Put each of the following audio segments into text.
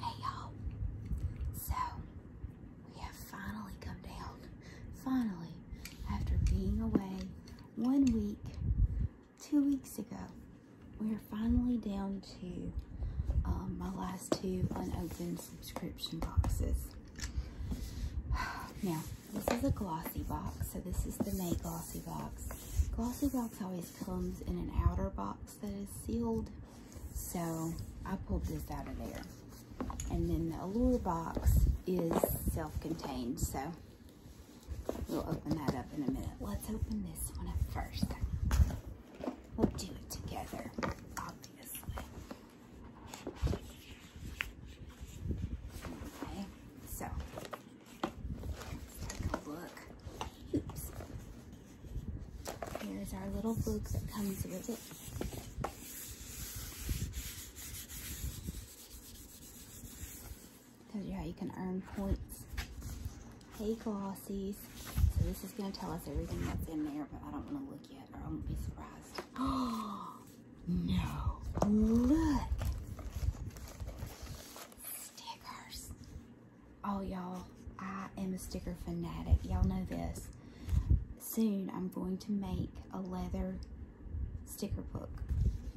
Hey y'all. So we have finally come down. Finally, after being away one week, two weeks ago, we are finally down to um, my last two unopened subscription boxes. Now, this is a glossy box, so this is the May glossy box. Glossy box always comes in an outer box that is sealed. So I pulled this out of there. And then the Allure box is self-contained, so we'll open that up in a minute. Let's open this one up first. We'll do it together, obviously. Okay, so look. Oops. Here's our little book that comes with it. Tells you how you can earn points. Hey, Glossies. So this is going to tell us everything that's in there, but I don't want to look yet or I won't be surprised. Oh, no. Look. Stickers. Oh, y'all, I am a sticker fanatic. Y'all know this. Soon, I'm going to make a leather sticker book.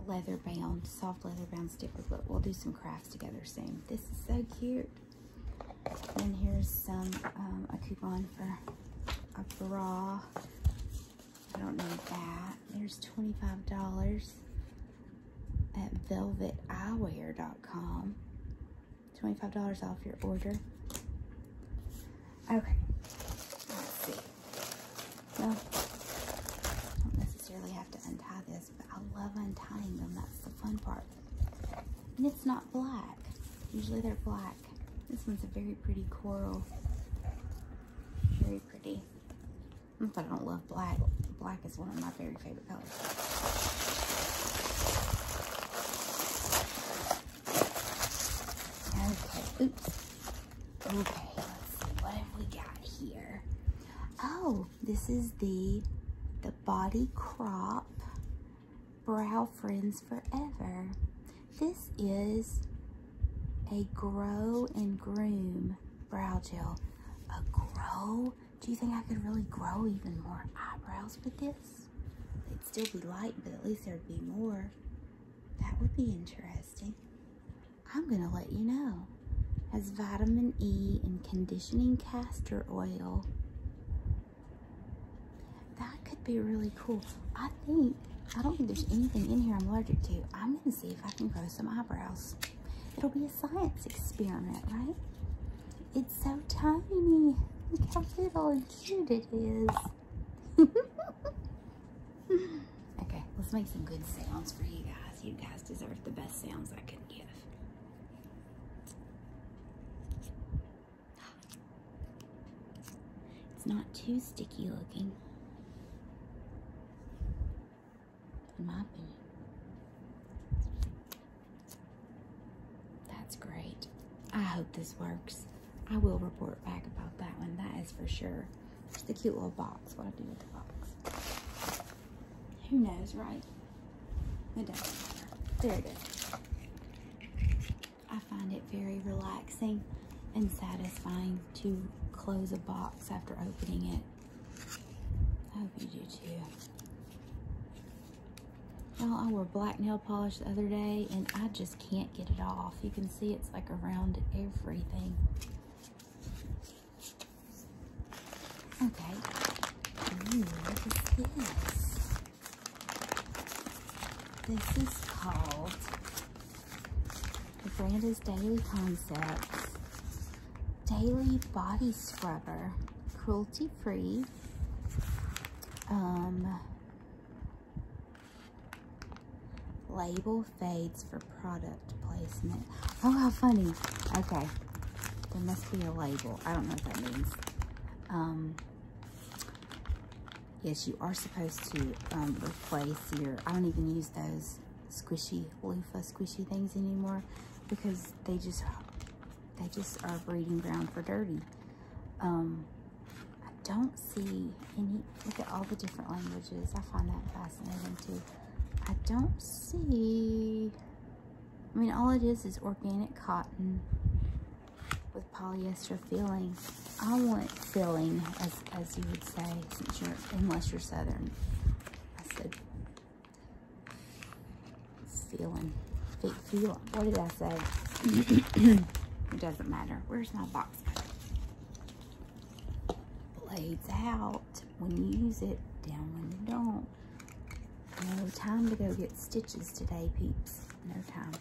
Leather bound, soft leather bound sticker book. We'll do some crafts together soon. This is so cute. And here's some, um, a coupon for a bra. I don't know that. There's $25 at velveteyewear.com. $25 off your order. Okay. Let's see. Well, I don't necessarily have to untie this, but I love untying them. That's the fun part. And it's not black. Usually they're black. This one's a very pretty coral. Very pretty. Not that I don't love black. Black is one of my very favorite Okay, oops. Okay, let's see, what have we got here? Oh, this is the, the Body Crop Brow Friends Forever. This is a grow and groom brow gel. A grow do you think I could really grow even more eyebrows with this? They'd still be light, but at least there'd be more. That would be interesting. I'm going to let you know. Has vitamin E and conditioning castor oil. That could be really cool. I think, I don't think there's anything in here I'm allergic to. I'm going to see if I can grow some eyebrows. It'll be science experiment, right? It's so tiny. Look how little and cute it is. okay, let's make some good sounds for you guys. You guys deserve the best sounds I can give. It's not too sticky looking in my opinion. That's great. I hope this works. I will report back about that one. That is for sure. It's the cute little box. What I do with the box. Who knows, right? It does There it is. I find it very relaxing and satisfying to close a box after opening it I hope you do too. Y'all, I wore black nail polish the other day and I just can't get it off. You can see it's like around everything. Okay. what is this? This is called, the brand is Daily Concepts daily body scrubber cruelty free um, label fades for product placement oh how funny okay there must be a label I don't know what that means um, yes you are supposed to um, replace your I don't even use those squishy loofah squishy things anymore because they just they just are breeding ground for dirty. Um, I don't see any, look at all the different languages. I find that fascinating too. I don't see, I mean, all it is is organic cotton with polyester filling. I want filling, as, you would say, since you're, unless you're Southern. Feeling. Feet feeling. What did I say? it doesn't matter. Where's my box Blades out when you use it, down when you don't. No time to go get stitches today, peeps. No time.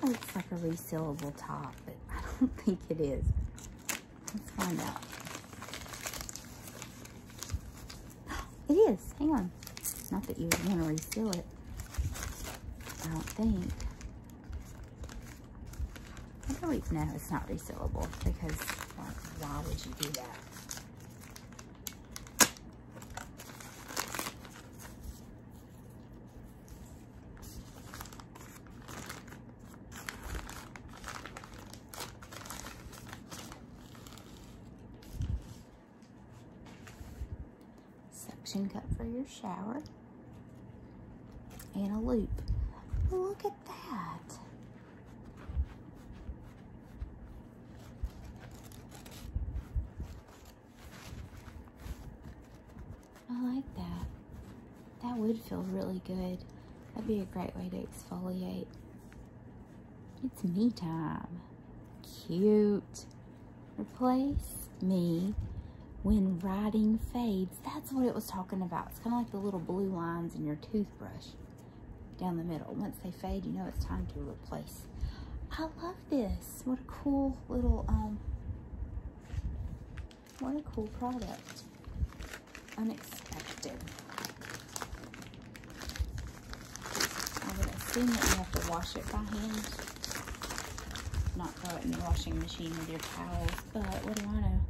That looks like a resellable top, but I don't think it is. Let's find out. It is. Hang on. Not that you want to reseal it. I don't think. I do no, it's not resealable because why would you do that? Suction cup for your shower. And a loop. Look at that. I like that. That would feel really good. That'd be a great way to exfoliate. It's me time. Cute. Replace me when writing fades. That's what it was talking about. It's kind of like the little blue lines in your toothbrush down the middle. Once they fade, you know it's time to replace. I love this. What a cool little, um, what a cool product unexpected. I would assume that you have to wash it by hand. Not throw it in the washing machine with your towels, but what do I know?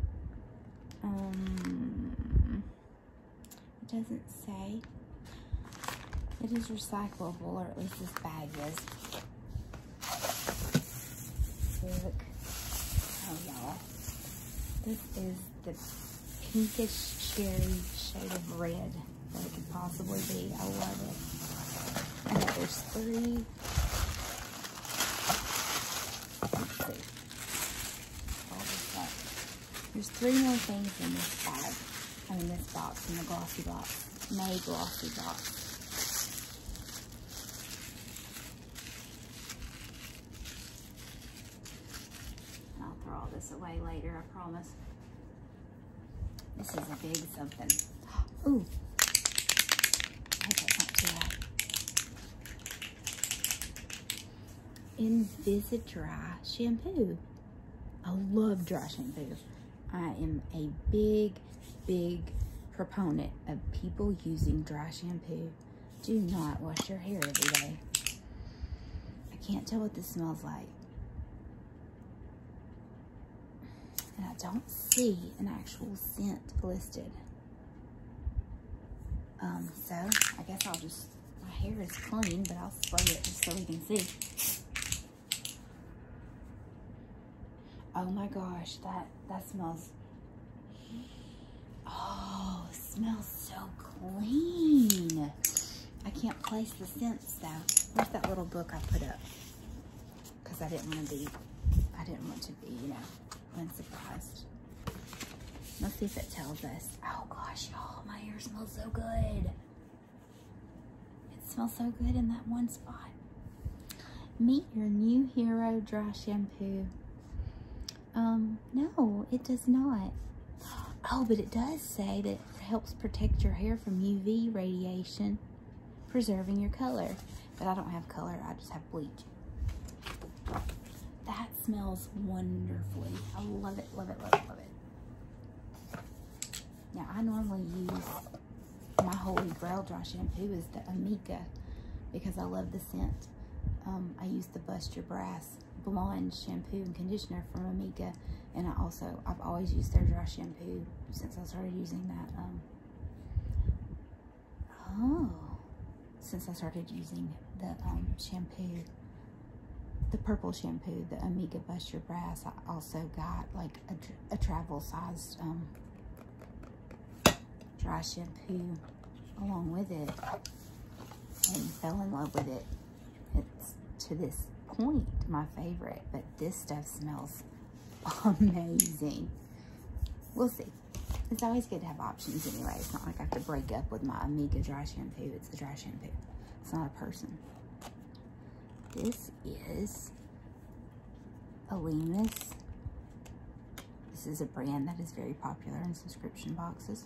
Um, it doesn't say. It is recyclable, or at least this bag is. Look. Oh, y'all. This is the pinkish cherry shade of red that it could possibly be. I love it. I got there's three. There's three more things in this bag. I mean this box, in the glossy box. May glossy box. I'll throw all this away later, I promise. This is a big something. Ooh. Invisidry shampoo. I love dry shampoo. I am a big, big proponent of people using dry shampoo do not wash your hair every day. I can't tell what this smells like. And I don't see an actual scent listed. Um, so I guess I'll just, my hair is clean, but I'll spray it just so we can see. Oh my gosh, that, that smells Oh, smells so clean. I can't place the scent, though. Where's that little book I put up? Because I didn't want to be, I didn't want to be, you know, unsurprised. Let's see if it tells us. Oh gosh, y'all, my hair smells so good. It smells so good in that one spot. Meet your new hero dry shampoo. Um, no, it does not. Oh, but it does say that it helps protect your hair from UV radiation, preserving your color. But I don't have color, I just have bleach. That smells wonderfully. I love it, love it, love it, love it. Now, I normally use my Holy Grail dry shampoo is the Amika because I love the scent. Um, I use the Bust Your Brass this blonde shampoo and conditioner from Amika, and I also I've always used their dry shampoo since I started using that. Um, oh, since I started using the um, shampoo, the purple shampoo, the Amika Bust Your Brass, I also got like a, travel sized um, dry shampoo along with it and fell in love with it. It's to this point my favorite, but this stuff smells amazing. We'll see. It's always good to have options anyway. It's not like I have to break up with my Amiga dry shampoo. It's the dry shampoo. It's not a person. This is Alimus. This is a brand that is very popular in subscription boxes.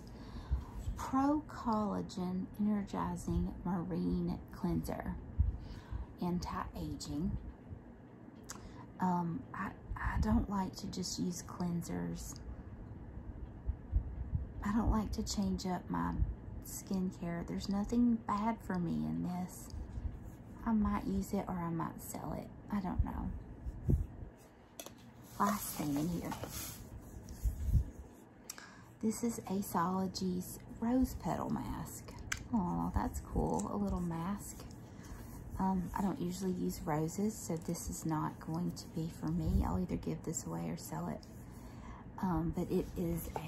Pro Collagen Energizing Marine Cleanser, anti-aging. Um, I, I don't like to just use cleansers. I don't like to change up my skincare. There's nothing bad for me in this. I might use it or I might sell it. I don't know. Last thing in here. This is Aceology's Rose Petal Mask. Oh, that's cool. A little mask. Um, I don't usually use roses, so this is not going to be for me. I'll either give this away or sell it. Um, but it is a,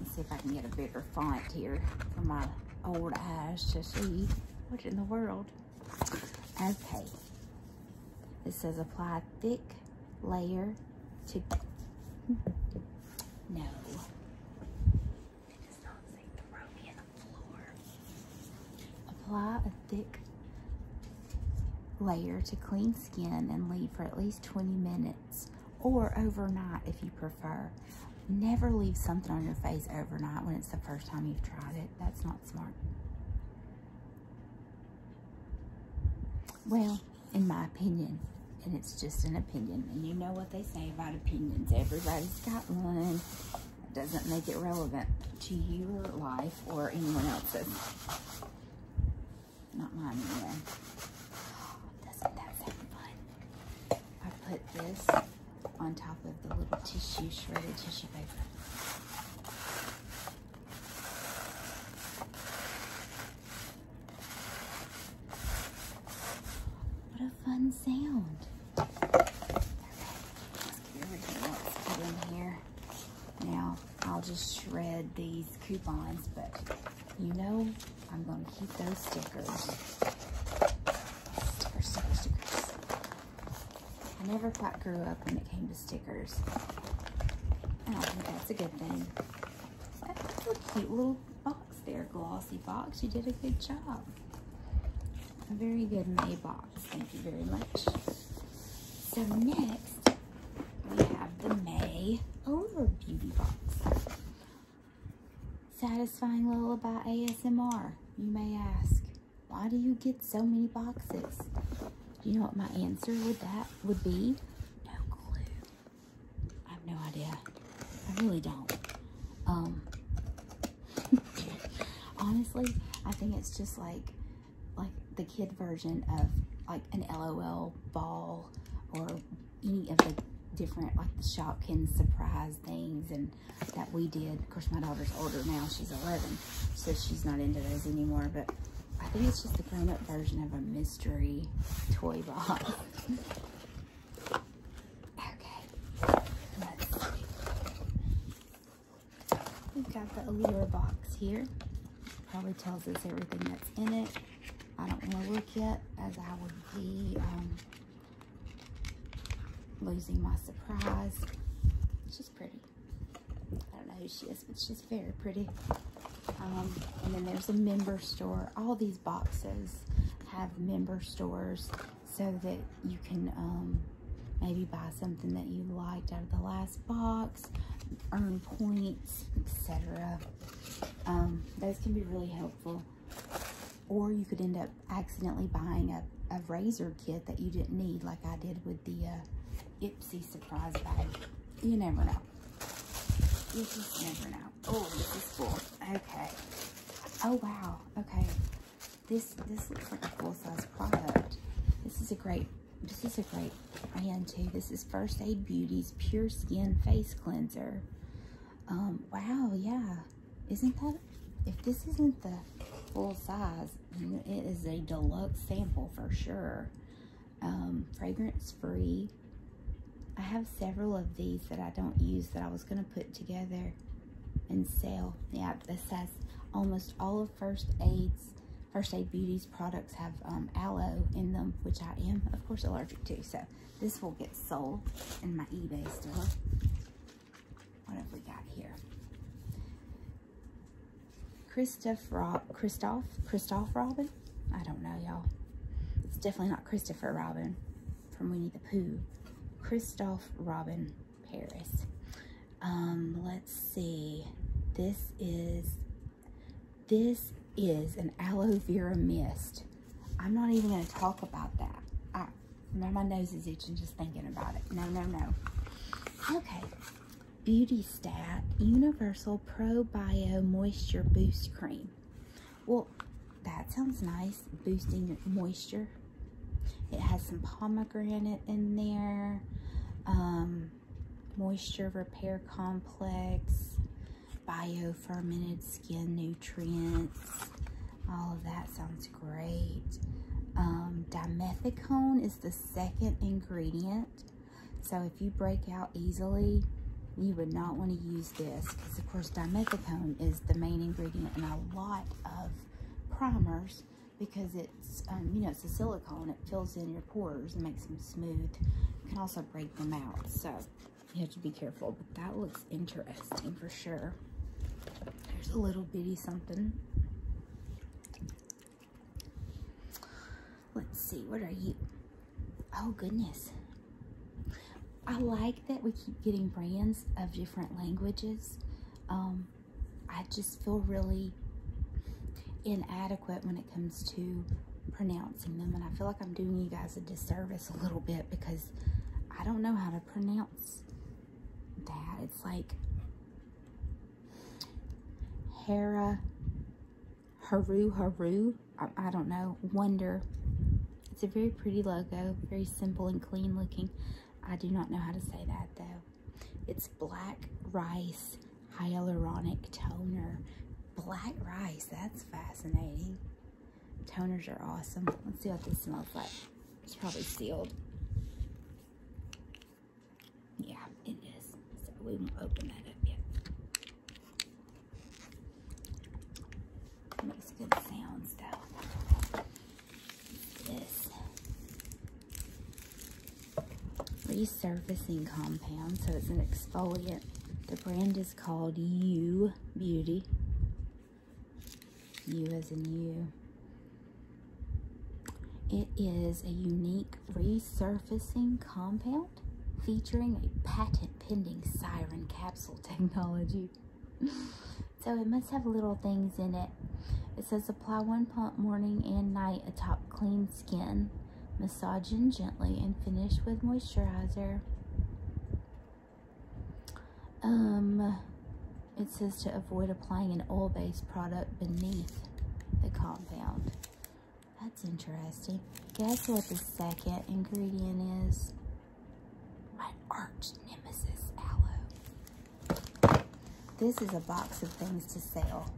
let's see if I can get a bigger font here for my old eyes to see. What in the world? Okay. It says apply thick layer to... No. It does not say throw me in the floor. Apply a thick layer to clean skin and leave for at least 20 minutes or overnight if you prefer. Never leave something on your face overnight when it's the first time you've tried it. That's not smart. Well, in my opinion, and it's just an opinion, and you know what they say about opinions. Everybody's got one. doesn't make it relevant to your life or anyone else's. Not mine anyway. doesn't that sound fun? I put this on top of the little tissue, shredded tissue paper. What a fun sound. Okay, let's put in here. Now, I'll just shred these coupons, but you know I'm going to keep those stickers. Stickers, stickers. I never quite grew up when it came to stickers. I don't think that's a good thing. That's a cute little box there, Glossy Box. You did a good job. A very good May box. Thank you very much. So next, we have the May Over Beauty Box. Satisfying Lullaby ASMR, you may ask. Why do you get so many boxes? Do you know what my answer with that would be? No clue. I have no idea. I really don't. Um, honestly, I think it's just like, like the kid version of like an LOL ball or any of the different like the Shopkins surprise things and that we did of course, my daughter's older now. She's 11, so she's not into those anymore, but I think it's just the grown-up version of a mystery toy box. okay. We've got the Allure box here. Probably tells us everything that's in it. I don't want to look yet, as I would be um, losing my surprise. She's pretty. I don't know who she is, but she's very pretty. Um, and then there's a member store. All these boxes have member stores so that you can um, maybe buy something that you liked out of the last box, earn points, etc. Um, those can be really helpful. Or you could end up accidentally buying a, razor kit that you didn't need like I did with the uh, Ipsy surprise bag. You never know. You just never know. Oh, this is cool. Okay. Oh, wow. Okay. This this looks like a full-size product. This is a great, this is a great brand, too. This is First Aid Beauty's Pure Skin Face Cleanser. Um, wow, yeah. Isn't that, if this isn't the full size. it is a deluxe sample for sure. Um, fragrance free. I have several of these that I don't use that I was going to put together and sell. Yeah, this has almost all of First Aid's, First Aid Beauties products have um, aloe in them, which I am, of course, allergic to. So this will get sold in my eBay store. What have we got here? Christoph Rob Christoph Robin? I don't know, y'all. It's definitely not Christopher Robin from Winnie the Pooh. Christoph Robin Paris. Um, let's see. This is this is an aloe vera mist. I'm not even going to talk about that. I, now my nose is itching just thinking about it. No, no, no. Okay. Beauty Stat Universal Pro Bio Moisture Boost Cream. Well, that sounds nice, boosting moisture. It has some pomegranate in there, um, moisture repair complex, bio fermented skin nutrients. All of that sounds great. Um, dimethicone is the second ingredient. So if you break out easily, you would not want to use this because of course dimethicone is the main ingredient in a lot of primers because it's, um, you know, it's a silicone. It fills in your pores and makes them smooth. You can also break them out. So you have to be careful, but that looks interesting for sure. There's a little bitty something. Let's see, what are you? Oh, goodness. I like that we keep getting brands of different languages. Um, I just feel really inadequate when it comes to pronouncing them. And I feel like I'm doing you guys a disservice a little bit because I don't know how to pronounce that. It's like Hera, Haru Haru, I, I don't know, Wonder. It's a very pretty logo, very simple and clean looking. I do not know how to say that though. It's black rice hyaluronic toner. Black rice, that's fascinating. Toners are awesome. Let's see what this smells like. It's probably sealed. Yeah, it is. So we won't open that up yet. makes good sounds though. resurfacing compound, so it's an exfoliant. The brand is called You Beauty. You as in you. It is a unique resurfacing compound featuring a patent pending siren capsule technology. so it must have little things in it. It says apply one pump morning and night atop clean skin, massaging gently and finish with moisturizer. Um, it says to avoid applying an oil-based product beneath the compound. That's interesting. Guess what the second ingredient is? My arch nemesis aloe. This is a box of things to sell.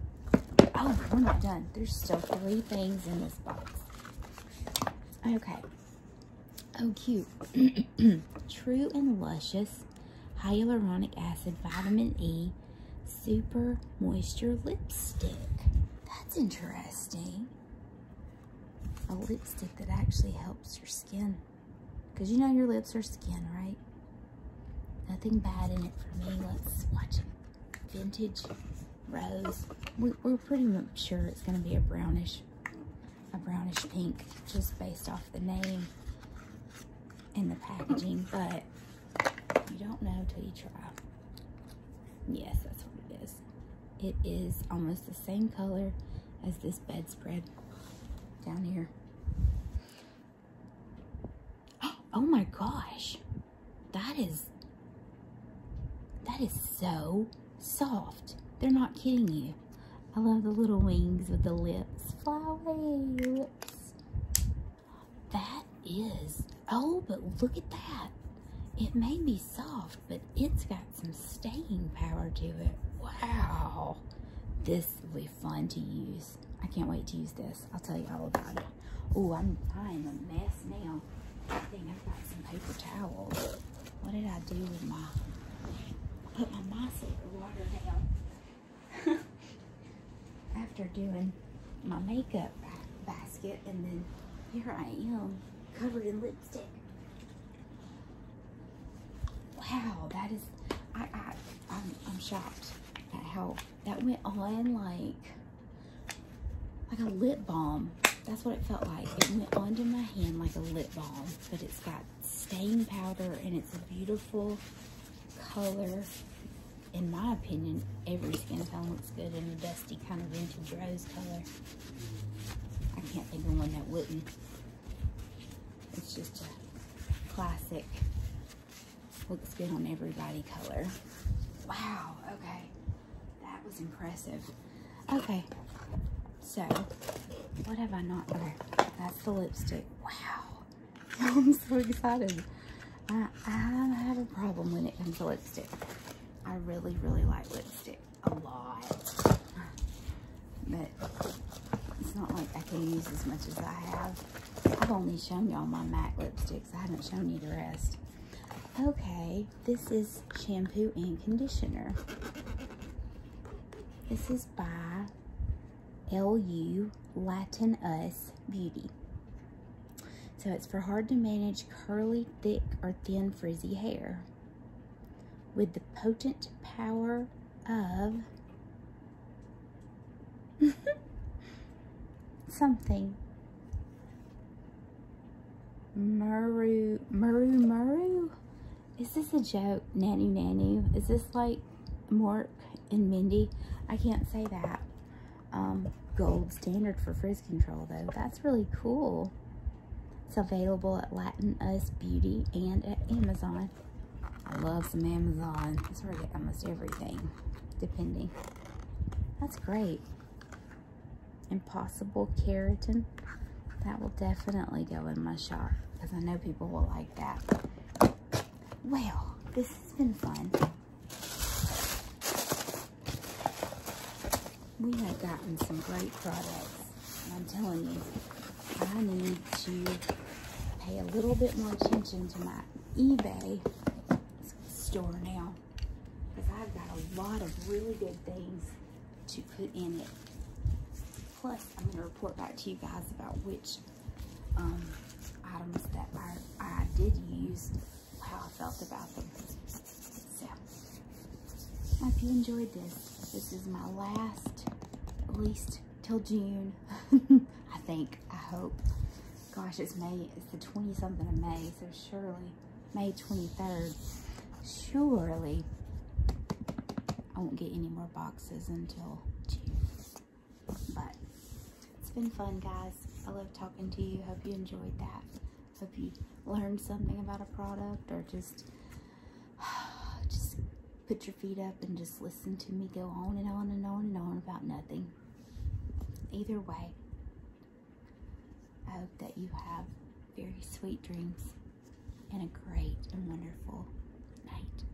Oh, we're not done. There's still three things in this box. Okay. Oh, cute. True and luscious hyaluronic acid, vitamin E, super moisture lipstick. That's interesting. A lipstick that actually helps your skin. Because you know your lips are skin, right? Nothing bad in it for me. Let's watch Vintage rose. We, are pretty much sure it's going to be a brownish, a brownish pink just based off the name in the packaging, but you don't know till you try. Yes, that's what it is. It is almost the same color as this bedspread down here. Oh my gosh. That is, that is so soft. They're not kidding you. I love the little wings with the lips. Fly that is, oh, but look at that. It may be soft, but it's got some staying power to it. Wow. This will be fun to use. I can't wait to use this. I'll tell you all about it. Oh, I'm, I'm a mess now. I think I've got some paper towels. What did I do with my, put my micellar water down. After doing my makeup basket and then here I am covered in lipstick. Wow, that is, I, I, I'm, shocked at how that went on like, like a lip balm. That's what it felt like. It went onto my hand like a lip balm, but it's got stain powder and it's beautiful color. In my opinion, every skin tone looks good in a dusty kind of vintage rose color. I can't think of one that wouldn't. It's just a classic, looks good on everybody color. Wow, okay. That was impressive. Okay, so what have I not, okay, that's the lipstick. Wow. I'm so excited. I, have a problem when it comes to lipstick. I really, really like lipstick a lot. But it's not like I can use as much as I have. I've only shown y'all my MAC lipsticks. I haven't shown you the rest. Okay, this is shampoo and conditioner. This is by LU Latin Us Beauty. So it's for hard to manage curly, thick, or thin frizzy hair. With the potent power of something. Muru, Muru, Muru? Is this a joke? Nanny? Nanny, Is this like Mark? in Mindy. I can't say that. Um, gold standard for frizz control though. That's really cool. It's available at Latin Us Beauty and at Amazon. I love some Amazon. It's where I get almost everything, depending. That's great. Impossible keratin. That will definitely go in my shop because I know people will like that. Well, this has been fun. We have gotten some great products. And I'm telling you, I need to pay a little bit more attention to my eBay store now. Because I've got a lot of really good things to put in it. Plus, I'm going to report back to you guys about which um, items that I, I did use, how I felt about them. So, I hope you enjoyed this. This is my last, at least till June, I think, I hope. Gosh, it's May, it's the 20-something of May, so surely, May 23rd, surely I won't get any more boxes until June. But it's been fun, guys. I love talking to you. Hope you enjoyed that. Hope you learned something about a product or just just put your feet up and just listen to me go on and on and on and on about nothing. Either way, I hope that you have very sweet dreams and a great and wonderful night.